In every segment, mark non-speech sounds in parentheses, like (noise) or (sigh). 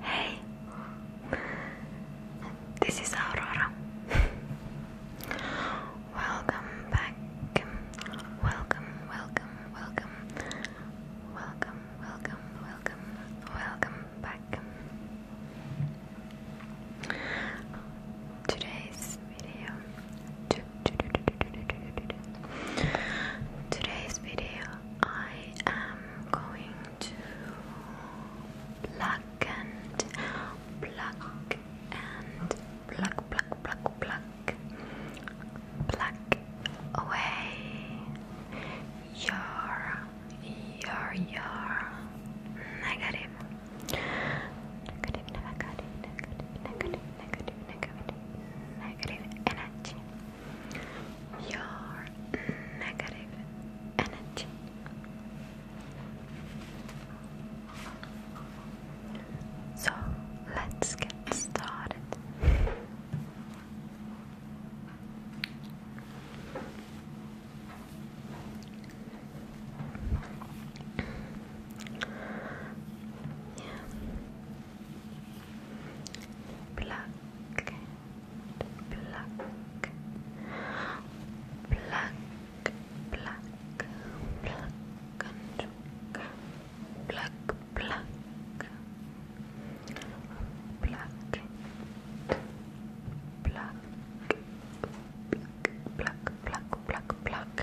Hey, this is Aurora. (laughs) welcome back. Welcome, welcome, welcome. Welcome, welcome, welcome, welcome back. Today's video. Today's video, I am going to pluck and pluck and pluck, pluck, pluck, pluck, away your, your, your negative. Negative, negative, negative, negative, negative, negative, negative energy. Your your negative energy. So let's get started. Yeah. Pluck black, black, black, black, black, pluck, pluck, pluck, pluck, pluck, pluck, pluck, pluck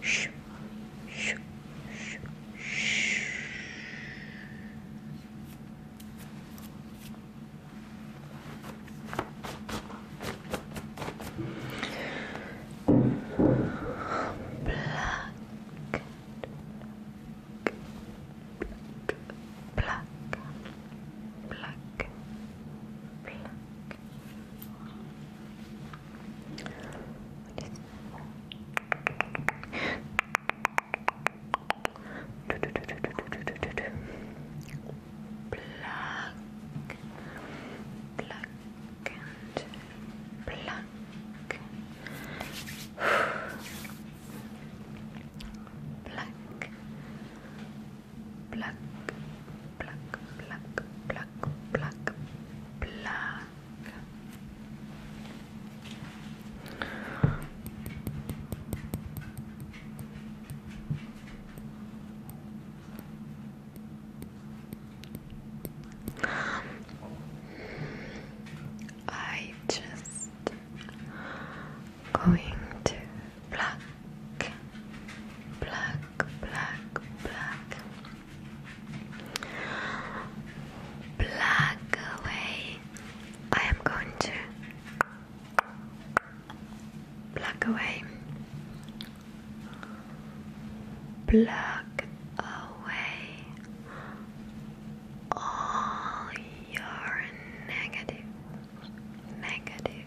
Shh. Shh. Shh. Shh. Black. Black. Black. Black. Black. Black, black and black. Black, black, Black, black, black, black, black. I just going to pluck, pluck, pluck, pluck plug away. I am going to plug away. Plug away all your negative, negative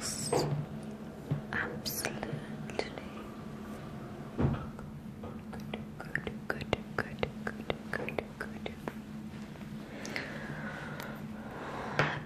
Looks absolutely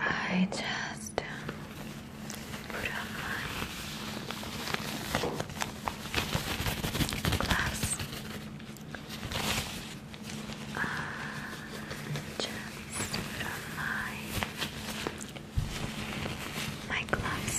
I just put on my glass and uh, just put on my my gloves.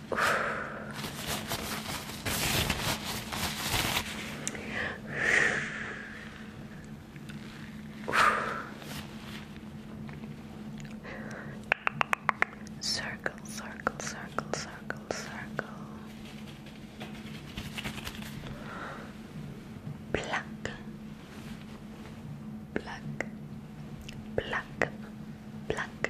Circle, circle, circle, circle, circle. Pluck, pluck, pluck, pluck,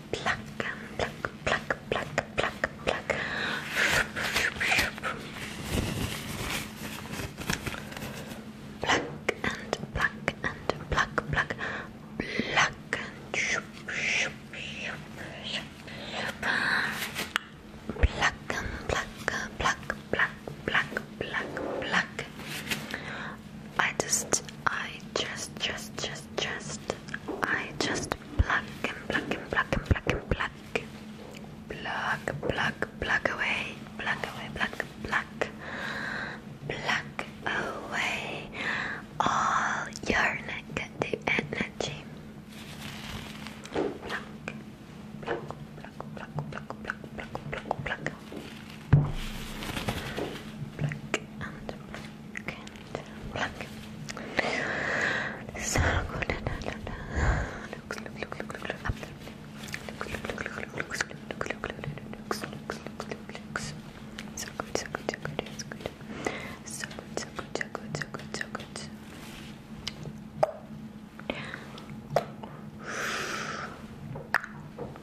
pluck, pluck, pluck, pluck, pluck, pluck. Pluck and pluck and pluck, pluck, pluck and shoop, shoop, shoop, shoop, shoop. Pluck and pluck, pluck, pluck, pluck, pluck, pluck. I just, I just, just, just, just, I just pluck and pluck and pluck and pluck and pluck. Pluck, pluck, pluck away, pluck away, pluck, pluck, pluck away all your negative energy. Pluck, pluck, pluck, pluck, pluck, pluck, pluck, pluck, pluck, black and black and black. So good. Da, da, da. Looks, look, look, look, look, look, up there. Looks, look, look, look, looks, look, look, look, look, looks, looks, looks, looks, looks. So good, so good, so good, so good. So good, so good, so good, so good, so good. Good.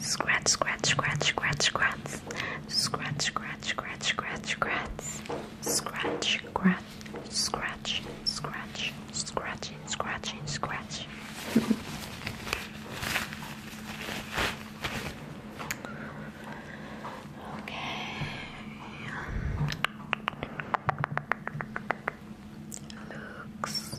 Scratch, scratch, scratch, scratch, scratch. Scratch, scratch, scratch, scratch, scratch. Scratch, scratch, scratch, scratch, scratching, scratching, scratch. okay. Looks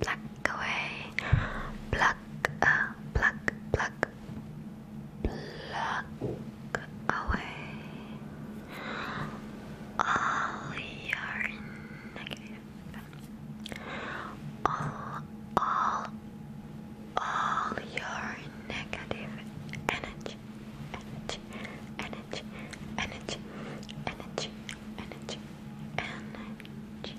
Pluck away. Pluck, uh, pluck, pluck. Pluck away all your negative. All, all, all your negative energy, energy, energy, energy, energy, energy, energy.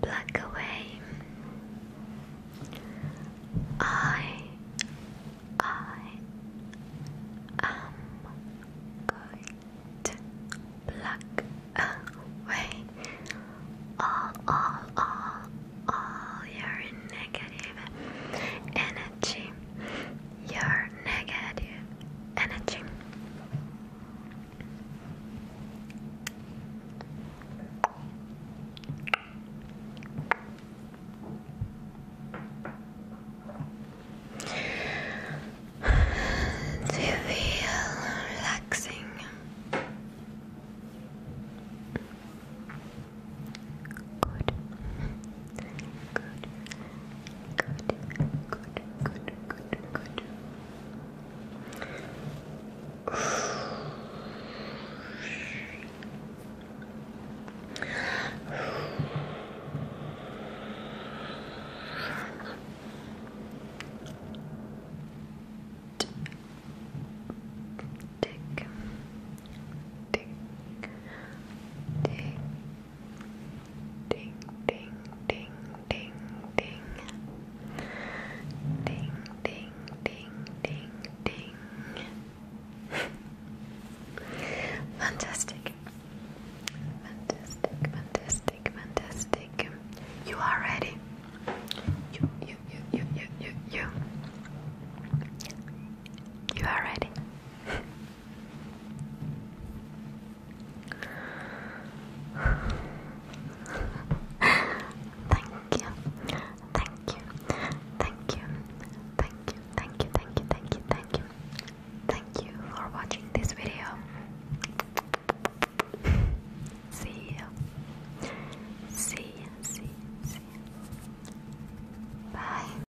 Black away. I, I am going to pluck away all, all, all, all your negative energy your negative energy. (sighs) To feel relaxing, good, good, good, good, good, good. Tick, tick, tick, tick, tick Ding, ding, ding, ding, ding. Ding, ding, ding, ding, ding. fantastic. Fantastic, fantastic, fantastic. You are ready. You, you, you, you, you, you, you. You are ready thank you, thank you, thank you, thank you, thank you, thank you, thank you, thank you, thank you for watching this video. See you, see you, see you, Bye.